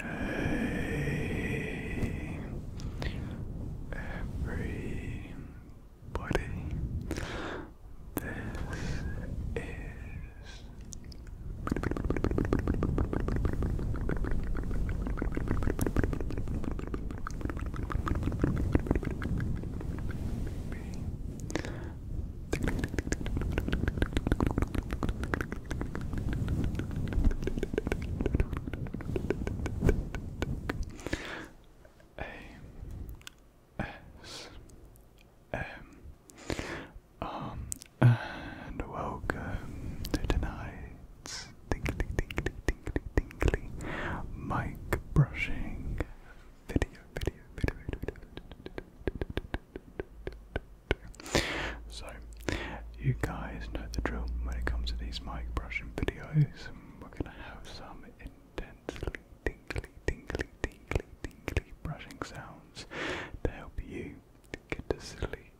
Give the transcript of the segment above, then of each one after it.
Hey, everybody, this is um, and welcome to tonight. It's tingly, tingly, tingly, tingly. Mic brushing. Video, video, video, video, video. So, you guys know the drill when it comes to these mic brushing videos. We're gonna have some intensely tingly, tingly, tingly, tingly brushing sounds to help you get to sleep.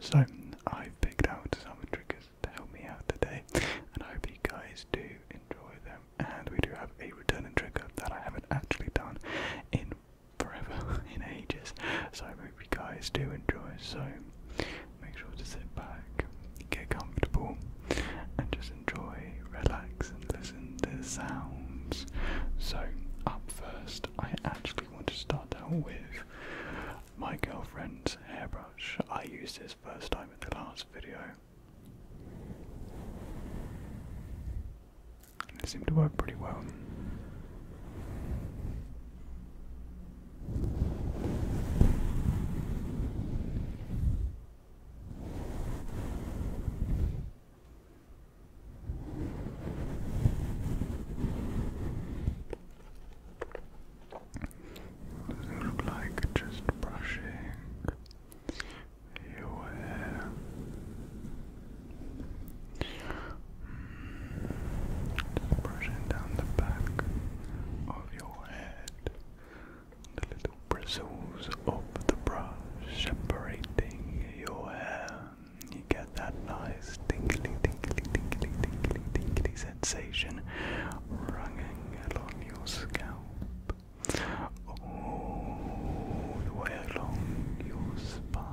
So I've picked out some triggers to help me out today, and I hope you guys do enjoy them. And we do have a returning trigger that I haven't actually done in forever, in ages. So I hope you guys do enjoy. So make sure to sit back, get comfortable, and just enjoy, relax, and listen to the sounds. So up first, I actually want to start out with my girlfriend's hairbrush. I used this first time in the last video. it seemed to work pretty well it look like just brushing your hair? Just brushing down the back of your head. The little bristles of the brush separating your hair. You get that nice tingly, tingly, tingly, tingly, tingly sensation running along your scalp, all the way along your spine.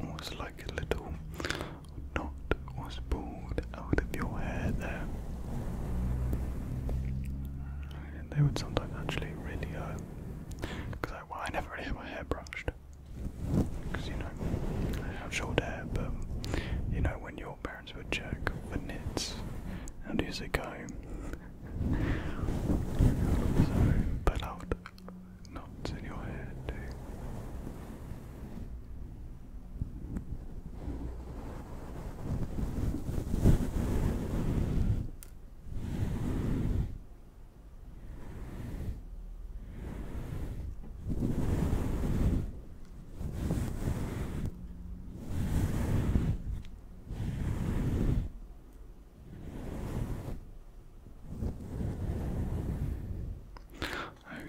Almost oh, like a little knot was pulled out of your hair there. they would sometimes actually really hurt. Because I, never really had my hair brushed. Because, you know, I have short hair, but, you know, when your parents would check for knits and use a comb. So, pull out knots in your head, too.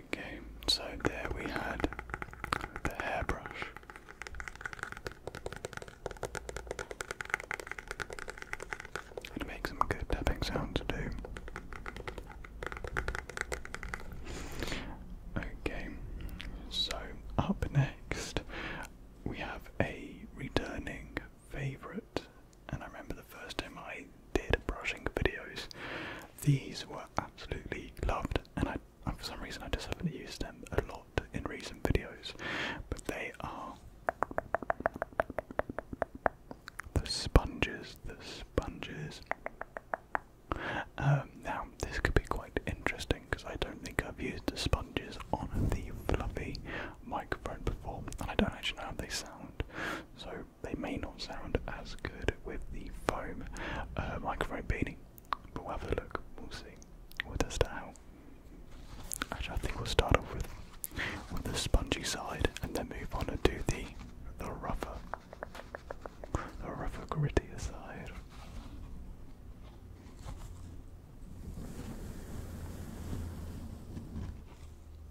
Okay, so there we had the hairbrush. It makes some good tapping sounds too. Okay, so up next we have a returning favourite and I remember the first time I did brushing videos, these were absolutely loved, and for some reason I just haven't used them a lot in recent videos, but they are the sponges, the sponges. Um, now this could be quite interesting because I don't think I've used the sponges on the fluffy microphone before, and I don't actually know how they sound. So they may not sound as good with the foam uh, microphone beanie, but we'll have a look. We'll see. What will test it out. I think we'll start off with with the spongy side, and then move on to the the rougher, the rougher, grittier side.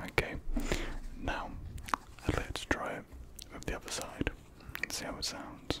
Okay, now let's try it with the other side and see how it sounds.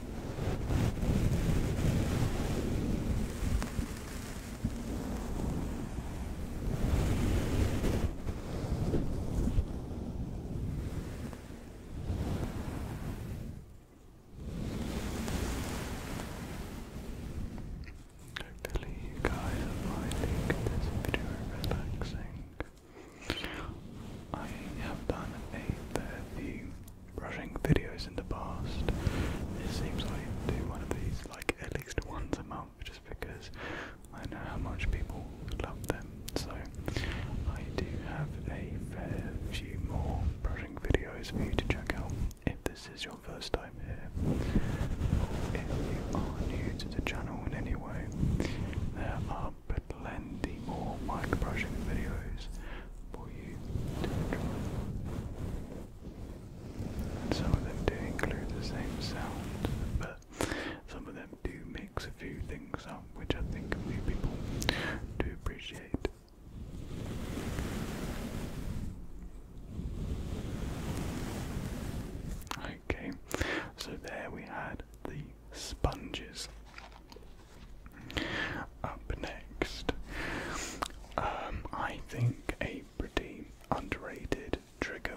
Hopefully you guys finding this video relaxing. I have done a fair few Brushing videos in the past. It seems I do one of these like at least once a month just because I know how much people love them. So I do have a fair few more brushing videos for you to check out if this is your first time here. If you are new to the channel in any way, there are plenty more mic brushing videos some of them do include the same sounds, but some of them do mix a few things up, which I think a few people do appreciate. Okay, so there we had the sponges. Up next, um, I think a pretty underrated trigger,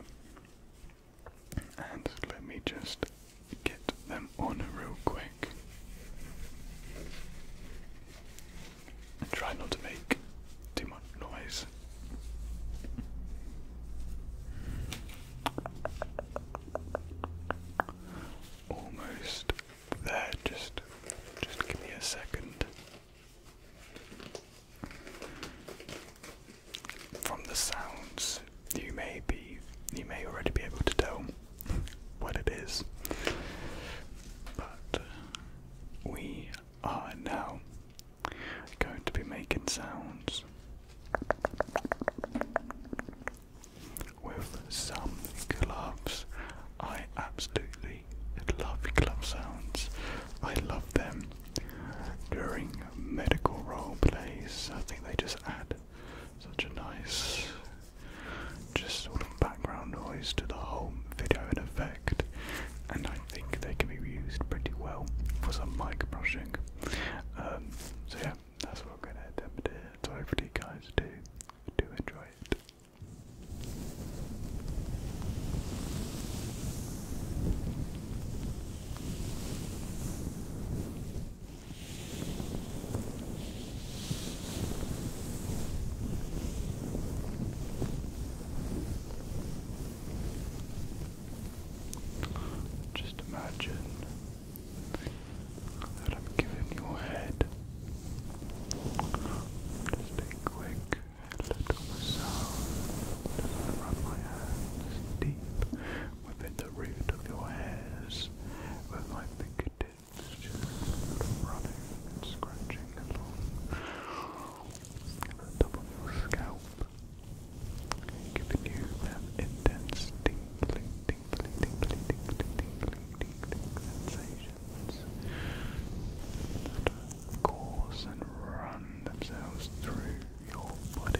and let me just get them on real quick. And try not to make too much noise. Almost there. Just, just give me a second. From the sounds, you may be, you may already be able to tell what it is, but uh, we are now going to be making sounds with some gloves. I absolutely love glove sounds. I love them during medical role plays. I think they just add such a nice, just sort of background noise to the whole video and effect. And I think they can be used pretty well for some mic brushing. Um, so yeah, that's what I'm going to attempt here. So hopefully you guys do do enjoy it. Just imagine that I'm giving your head. Just a quick little massage. Just rub my hands deep within the root of your hairs with my fingertips, just running and scratching along the top of your scalp. Giving you that intense tingling, tingly, tingly, tingly, tingly, sensations that course and run themselves through your body.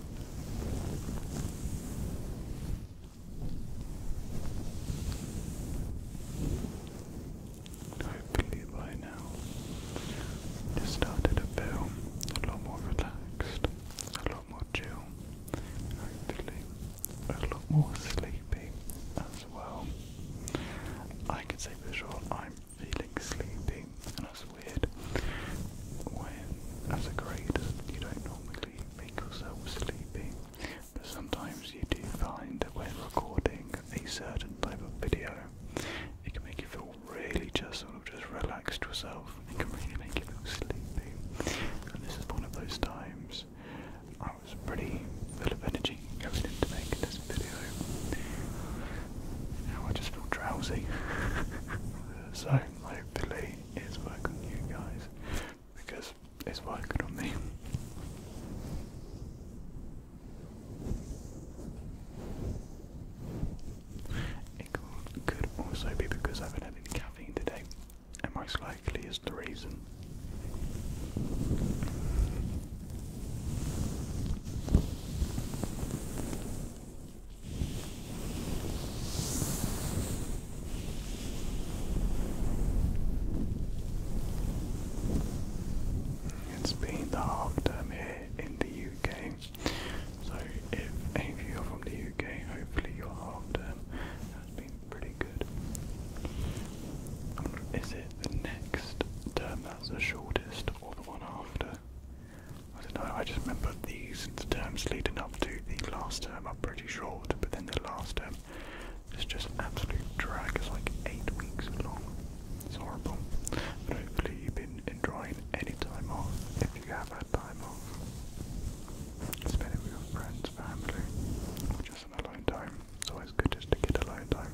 Hopefully by now you started to feel a lot more relaxed, a lot more chill, hopefully a lot more sleepy as well. I can say for sure I'm feeling sleepy and as weird. When, as a grader, you don't normally make yourself sleepy, but sometimes you do find that when recording a certain type of video, it can make you feel really just sort of just relaxed yourself. It can really make you feel sleepy. And this is one of those times I was pretty full of energy going into making this video. Now I just feel drowsy. so hopefully is work on you guys because it's working on me. It could also be because I haven't had caffeine today, and most likely is the reason. It's been the half term here in the UK, so if any of you are from the UK, hopefully your half term has been pretty good. Um, is it the next term that's the shortest, or the one after? I don't know, I just remember these the terms leading up to the last term are pretty short, but then the last term is just absolutely drag. It's like eight weeks long. It's horrible. hopefully you've been enjoying any time off if you have had time off. Spend it with your friends, family, or just an alone time. It's always good just to get alone time.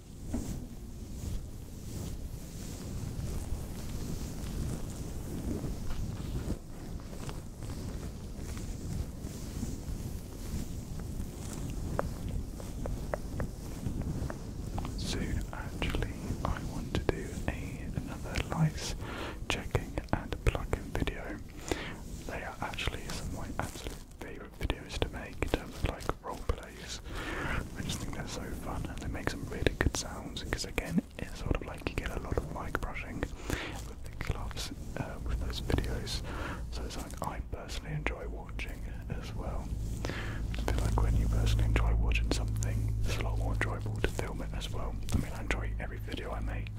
Soon, actually, I want to do another lights checking and plug-in video. They are actually some absolute favourite videos to make in like role plays. I just think they're so fun and they make some really good sounds because again it's sort of like you get a lot of mic brushing with the gloves uh, with those videos. So it's something I personally enjoy watching as well. I feel like when you personally enjoy watching something, it's a lot more enjoyable to film it as well. I mean I enjoy every video I make,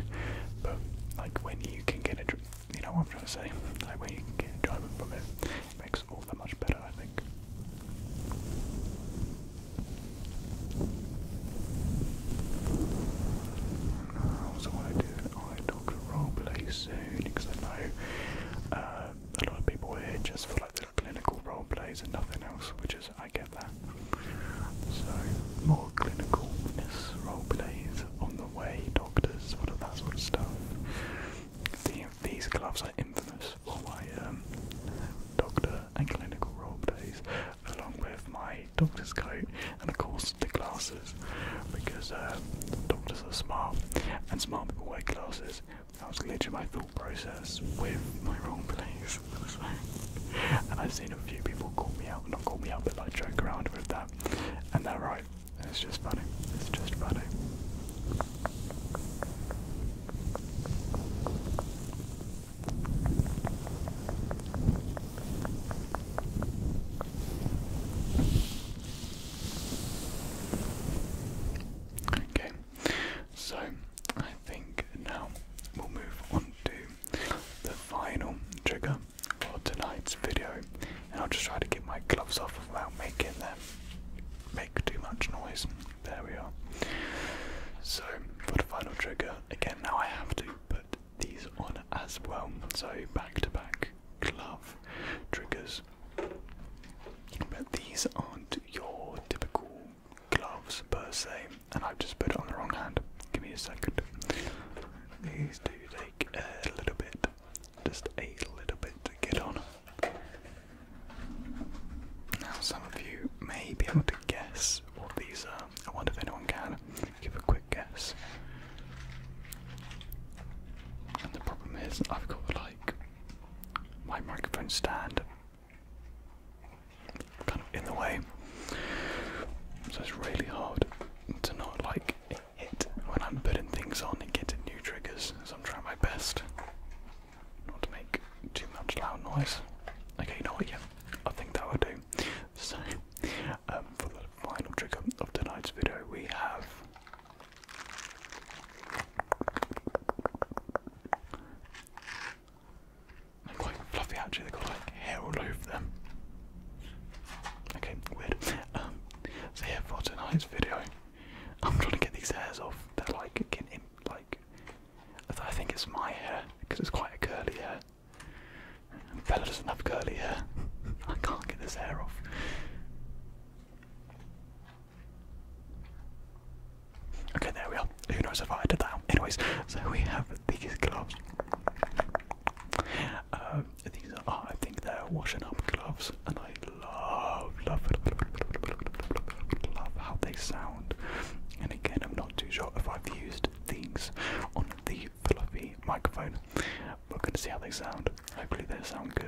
but like when you can get it you know what I'm trying to say. Like when you can get enjoyment from it, it makes all that much better, I think. Also, what I do, I talk roleplay soon because I know uh, a lot of people here just for like little clinical roleplays and nothing else, which is I get that. So more clinicalness roleplays on the way, doctors, all of that sort of stuff. The these gloves are infamous for my um, doctor and clinical role days, along with my doctor's coat and, of course, the glasses, because uh, doctors are smart and smart people wear glasses. That was literally my thought process with my role plays. and I've seen a few people call me out, not call me out, but like joke around with that, and they're right it's just funny. It's just funny. Okay, so I think now we'll move on to the final trigger for tonight's video, I'll just try to get my gloves off without making them make too much noise. There we are. So for the final trigger, again now I have to put these on as well. So back to back glove triggers. But these aren't your typical gloves per se, and I've just put it on the wrong hand. Give me a second. These do take a little bit just a little bit to get on. Now, some of you may be able to guess what these are. I wonder if anyone can. Give a quick guess. And the problem is, I've got like my microphone stand kind of in the way, so it's really hard to not like when I'm putting things on and getting new triggers, I'm trying my best not to make too much loud noise. Okay, you know I think that will do. So, um, for the final trigger of tonight's video, we have quite fluffy actually, they got like hair all over them. Okay, weird. Um, so yeah, for tonight's video, I'm trying to get these hairs off. They're like getting like. I think it's my hair because it's quite a curly hair. And Bella doesn't have curly hair. I can't get this hair off. Okay, there we are. Who knows if I did that? Anyways, so we have these gloves. Um, these are, I think they're washing up gloves, and I love, love, love how they sound. And again, I'm not too sure if I've used these on the fluffy microphone. We're going to see how they sound. Hopefully, they sound good.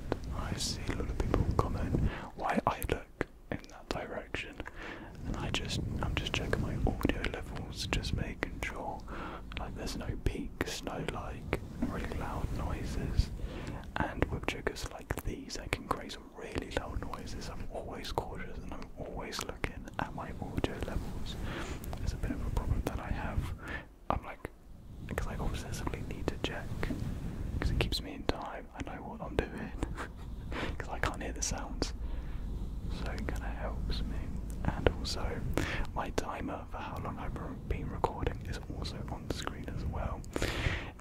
I see a lot of people comment why I look in that direction, and I just I'm just checking my audio levels, just making sure like there's no peaks, no like really loud noises. And with triggers like these, I can create some really loud noises. I'm always cautious and I'm always looking at my audio levels. There's a bit of a problem that I have I'm like, because I obsessively need to check, because it keeps me in time. I know what I'm doing, because I can't hear the sounds. So it kind of helps me. And also, my timer for how long I've been recording is also on screen as well.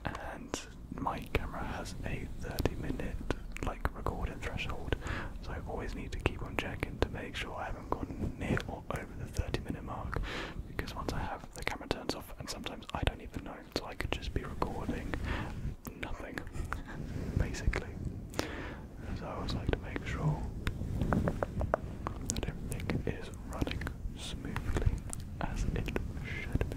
And my camera has a 30 minute like recording threshold, so I always need to keep on checking to make sure I haven't gone near or over the 30 minute mark. Because once I have the camera turns off, and sometimes I don't even know, so I could just be recording nothing, basically. So I always like to make sure that everything is running smoothly as it should be.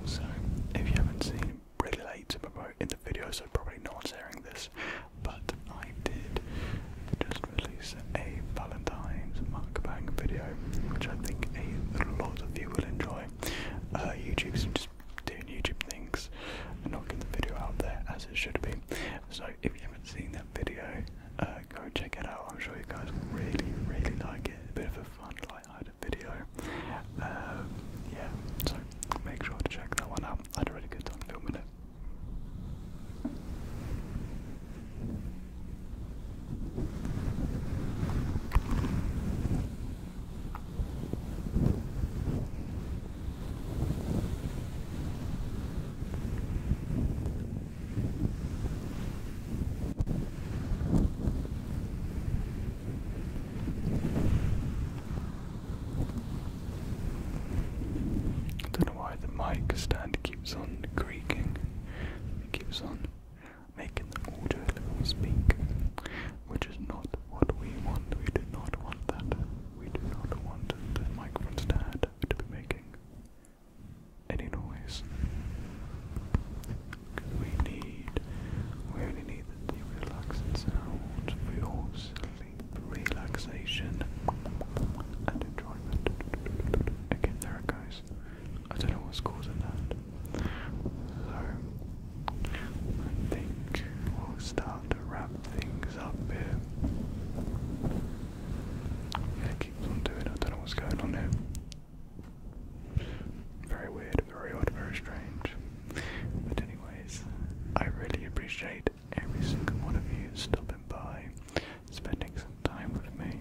Also, oh, if you haven't seen really late to promote in the video, so probably not hearing this. But I did just release a Valentine's mukbang video, which I think a lot of you will enjoy. Uh, YouTube's just doing YouTube things and not getting the video out there as it should be. So if you haven't seen that video, uh, go check it out. I'm sure you guys will really, really like it. A bit of a fun, quite hard video. Um, yeah, so make sure to check that one out. I had a really good time filming it. I don't know why the mic stand keeps on creaking. It keeps on making the audio level speak, which is not what we want. We do not want that. We do not want the microphone stand to be making any noise we need, we only need the relaxing sound. for your sleep relaxation and enjoyment. Again, there it goes. I don't know what's causing that. So, I think we'll start to wrap things up here. it keeps on doing. I don't know what's going on there. Very weird, very odd, very strange. But anyways, I really appreciate every single one of you stopping by, spending some time with me.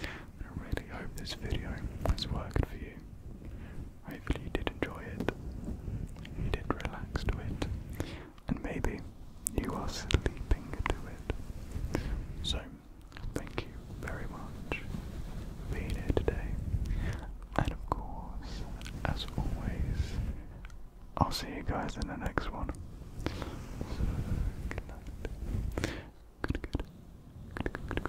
I really hope this video has worked for you. Hopefully you did enjoy it, you did relax to it, and maybe you are sleeping to it. So, thank you very much for being here today, and of course, as always, I'll see you guys in the next one. good night. Good, good.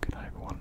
Good night, everyone.